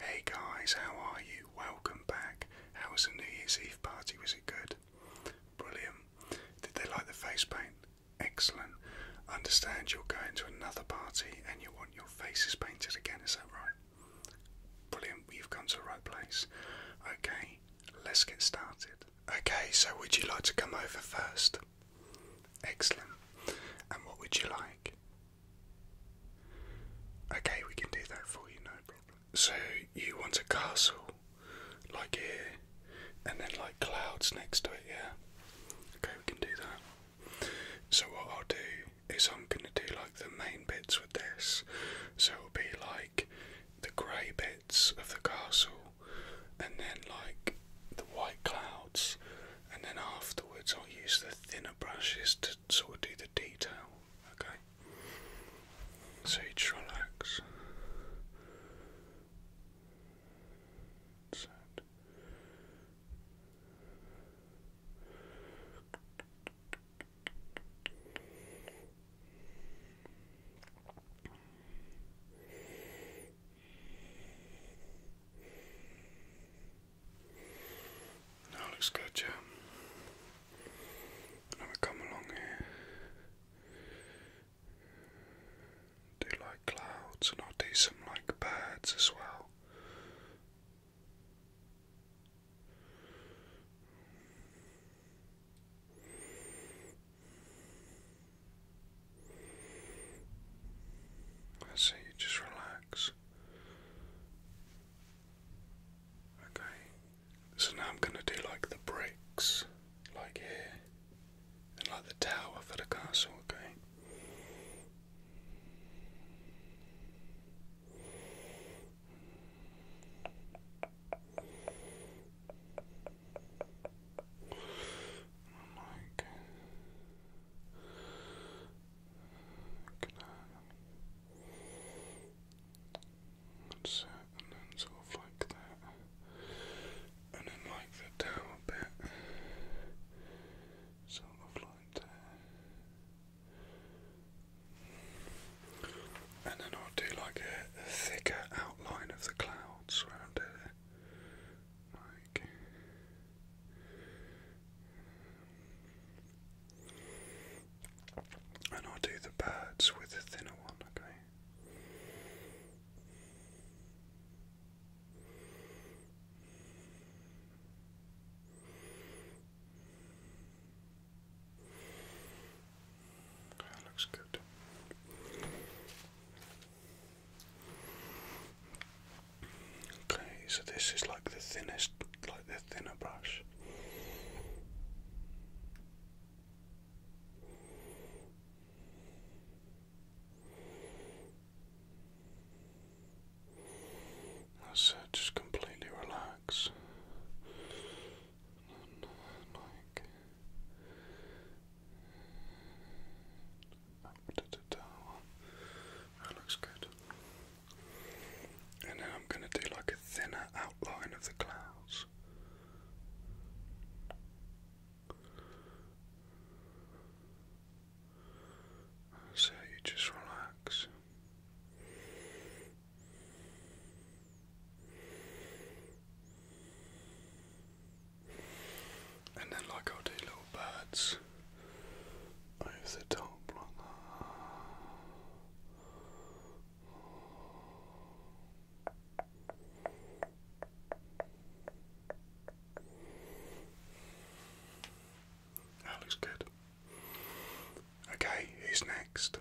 Hey guys, how are you? Welcome back. How was the New Year's Eve party? Was it good? Brilliant. Did they like the face paint? Excellent. Understand you're going to another party and you want your faces painted again, is that right? Brilliant, we have come to the right place. Okay, let's get started. Okay, so would you like to come over first? Excellent. And what would you like? Okay, we can do that for you, no problem. So you want a castle, like here, and then like clouds next to it, yeah? Okay, we can do that. So what I'll do is I'm gonna do like the main bits with this. So it'll be like the grey bits of the castle, and then like the white clouds, and then afterwards I'll use the thinner brushes to sort of do the detail. Okay, so you relax. That's that looks good, yeah. And i come along here. Do like clouds, and I'll do some like birds as well. I see you just relax. Okay, so now I'm going to do like the bricks, like here, and like the tower for the castle, okay? I? That's it, and then sort of like that. And then like the down bit. Sort of like that. And then I'll do like a thicker outline of the clouds around it. Like and I'll do the birds with the thinner one, okay? That looks good. Okay, so this is like the thinnest, like the thinner brush. That's just completely relax. That looks good. And then I'm going to do like a thinner outline of the clouds. So you just relax. And then, like, i do little birds over the top, That looks good. Okay, who's next?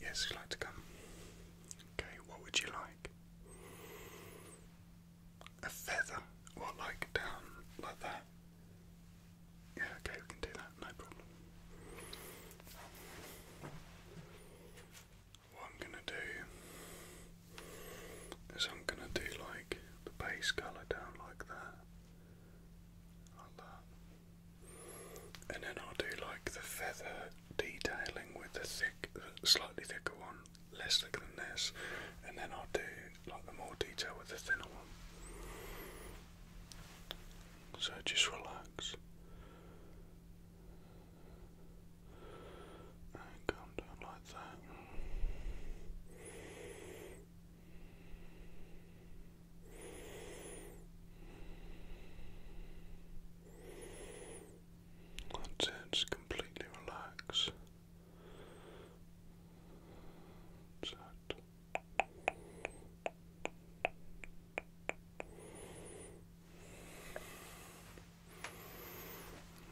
Yes, you'd like to come. Okay, what would you like? a feather, or like down like that. Yeah, okay, we can do that, no problem. What I'm gonna do is I'm gonna do like the base colour down like that, like that, and then I'll do like the feather detailing with the thick, slightly thicker one less thick than this, and then I'll do like the more detail with the thinner one. So just relax. And come down like that. That's it, just completely relax.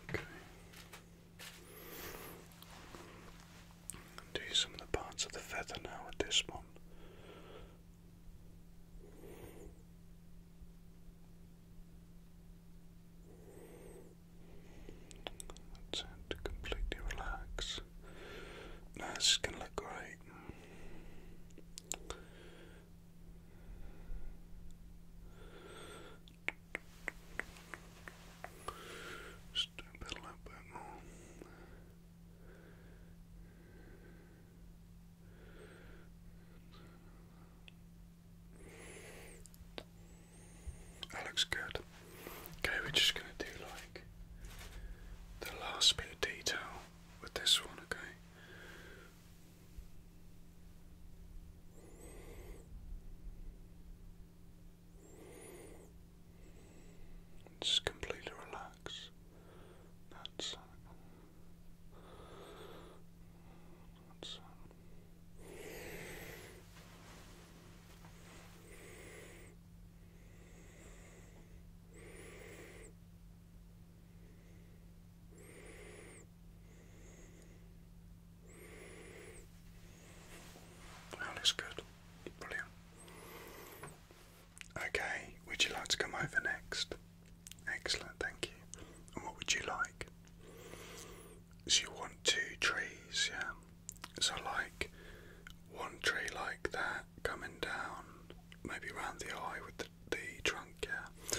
Okay. Do some of the parts of the feather now with this one. That's it, completely relax. Now going to look great. Just a little bit more. That looks good. Okay, we're just going to do like the last bit of detail with this one, okay? Just completely relax. That's that looks good. Brilliant. Okay, would you like to come over next? Excellent, thank you. what would you like? So you want two trees, yeah? So like one tree like that coming down, maybe around the eye with the, the trunk, yeah?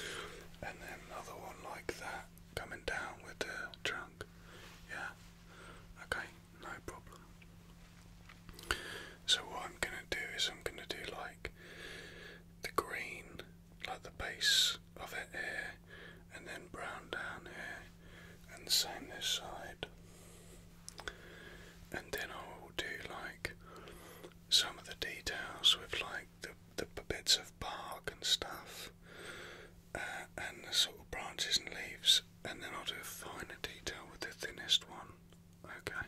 And then another one like that coming down with the trunk, yeah? Okay, no problem. So what I'm gonna do is I'm gonna do like the green, like the base of it here, and then brown down here, and the same this side. And then I will do like some of the details with like the, the bits of bark and stuff, uh, and the sort of branches and leaves, and then I'll do a finer detail with the thinnest one. Okay.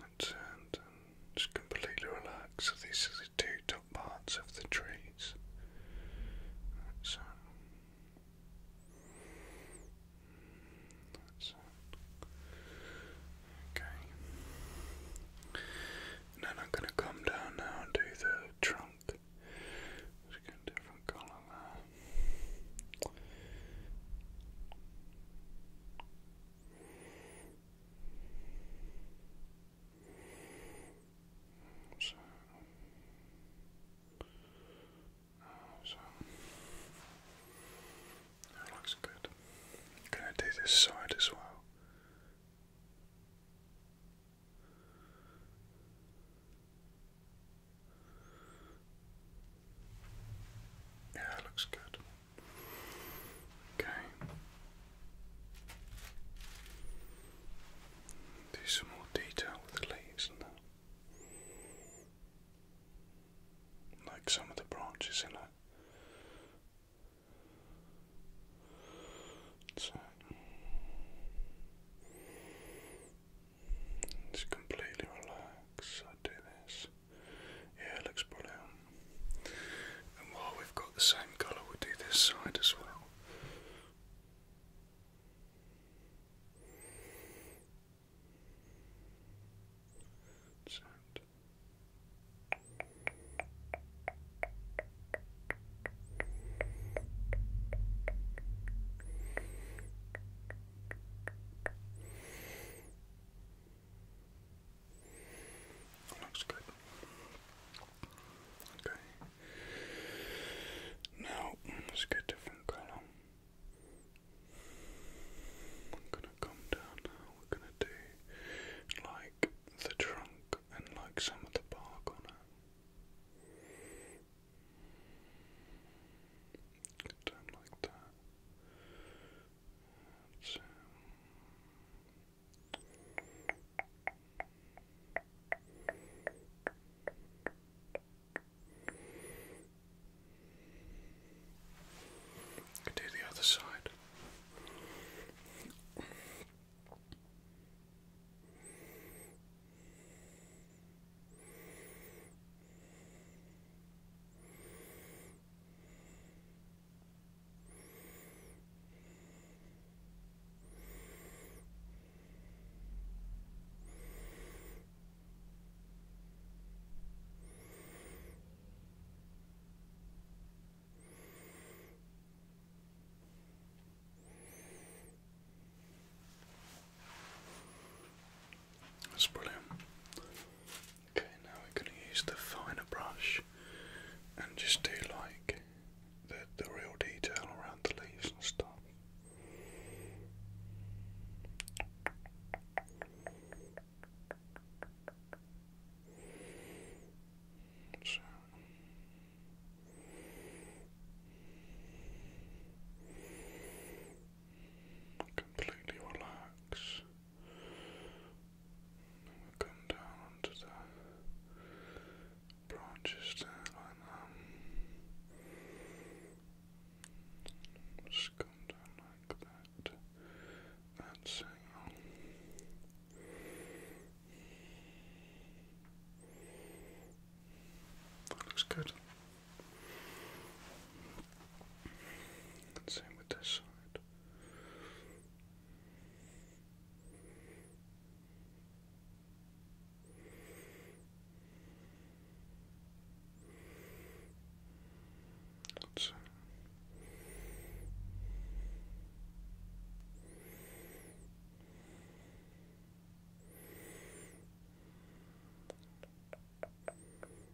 and, and, just completely relaxed. So these are the two top parts of the trees. That's That's Okay. then I'm going to come down now and the trunk. Just a different colour there. So, uh, so that looks good. gonna do this side as well. Yeah, it looks good. Okay. Do some more detail with the leaves and Like some of the branches in it. So it's completely relaxed. I do this. Yeah, it looks brilliant. And while we've got the same colour, do this side as well. Sound. Looks good. Okay. Now let's get a different color. I'm gonna come down We're gonna do like the trunk and like some of the bark on it. Get down like that let do the other side. That's brilliant. Okay, now we're going to use the finer brush and just do like the, the real detail around the leaves and stuff. So completely relax. come down onto the branches there like Just come down like that. That's it. That looks good. Same with this side.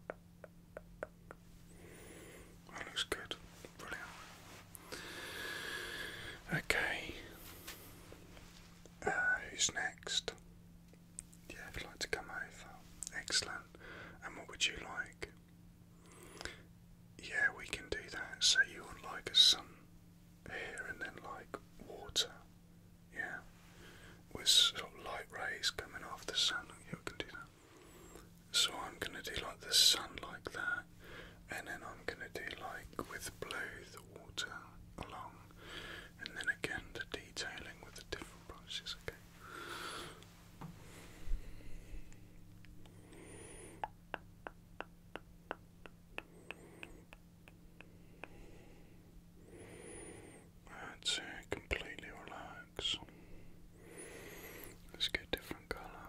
let that looks good. Brilliant. Okay. Uh, who's next? Yeah, would like to come over. Excellent. And what would you like? Yeah, we can do that. So you would like a here and then like water yeah, with light rays coming off the sun. Oh, you can do that. So I'm gonna do like the sun like that, and then I'm gonna do like with blue the water along, and then again the detailing with the different brushes. Okay. Okay. I'd say completely relax. Let's get different colour.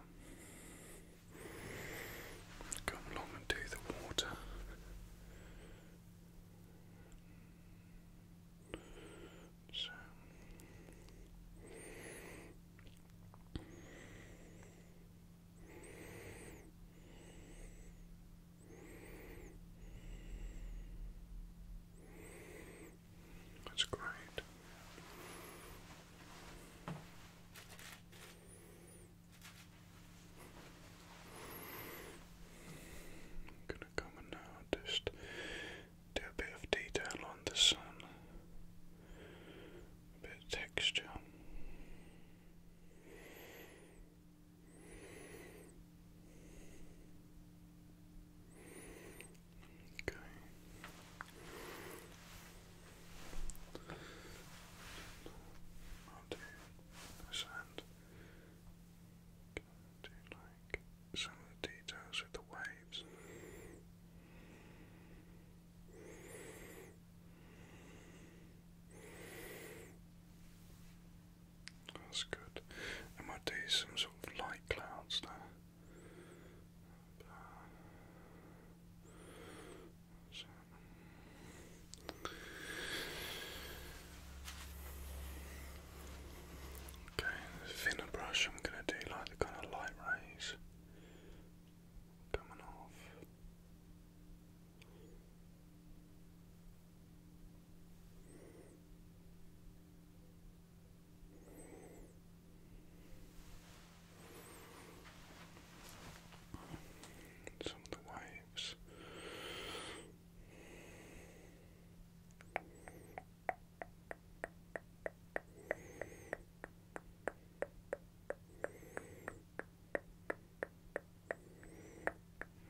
Come along and do the water. So. That's great. I'm gonna come and uh, just do a bit of detail on the sun, a bit texture. Okay. I'll do this Do like some of the details with the waves. That's good. I might do some sort of light clouds there. Okay, thinner brush I'm gonna do like the kind of light rays coming off. Some of the waves.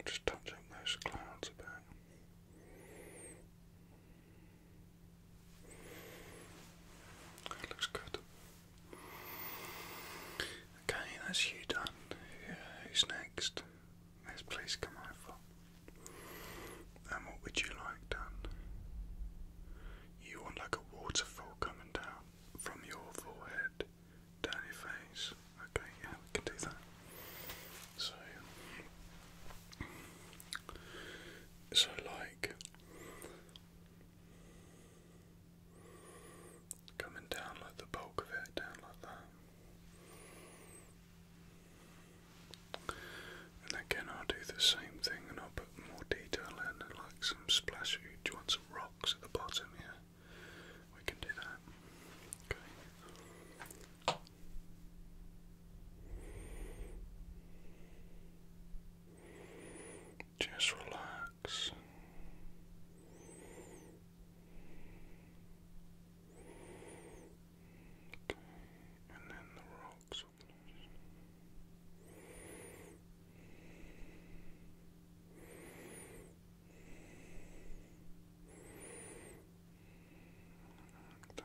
Just touch those clouds a bit. That looks good. Okay, that's you done. who's next? please come over. And what would you like done? You want like a waterfall coming down from your forehead down your face. Okay, yeah, we can do that. So, so like coming down like the bulk of it, down like that. And again, I'll do the same thing and I'll put more detail in like some splashes. Do you want some rocks at the bottom? here? we can do that. Okay. Just relax. Okay, and then the rocks a bit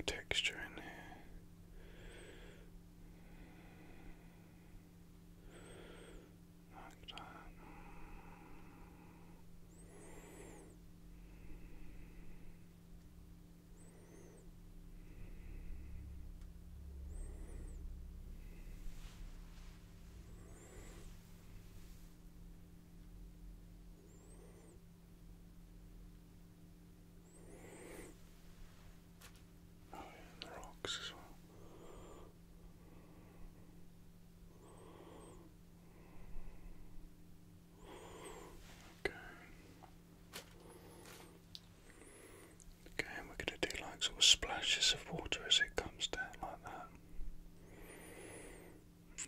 of texture in here. Like that. Oh, yeah, the rocks as well. Okay. Okay, we're going to do like sort of splashes of water as it comes down like that.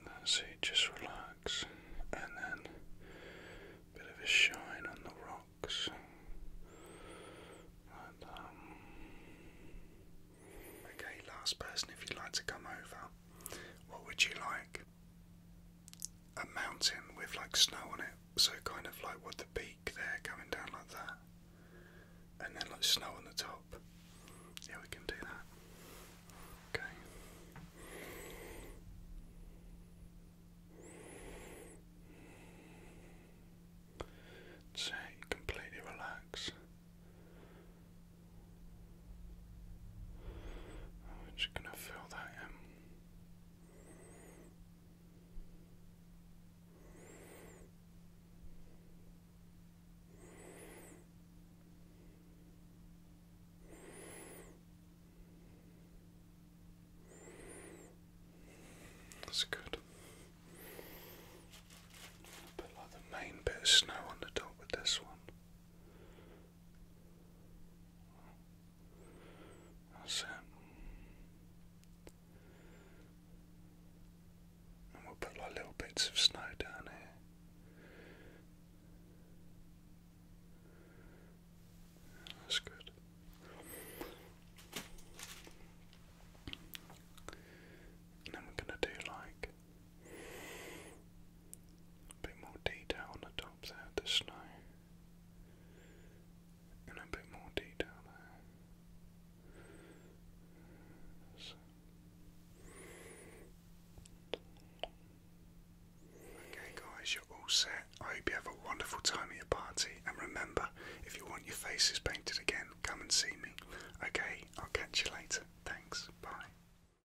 That's just relax. And then a bit of a shine on the rocks. Um, okay, last person, if you'd like to come over, what would you like? a mountain with like snow on it, so kind of like what the peak there coming down like that, and then like snow on the top. Yeah, we can do that. Okay. So completely relax. I'm just gonna fill that in. That's good. Put like the main bit of snow on the top with this one. That's it. And we'll put like little bits of snow down here. That's good. then we're going to do like a bit more detail on the top there, the snow. And a bit more detail there. Okay guys, you're all set. I hope you have a wonderful time at your party and remember, if you want your faces painted again, come and see me. Okay, I'll catch you later. Thanks. Bye.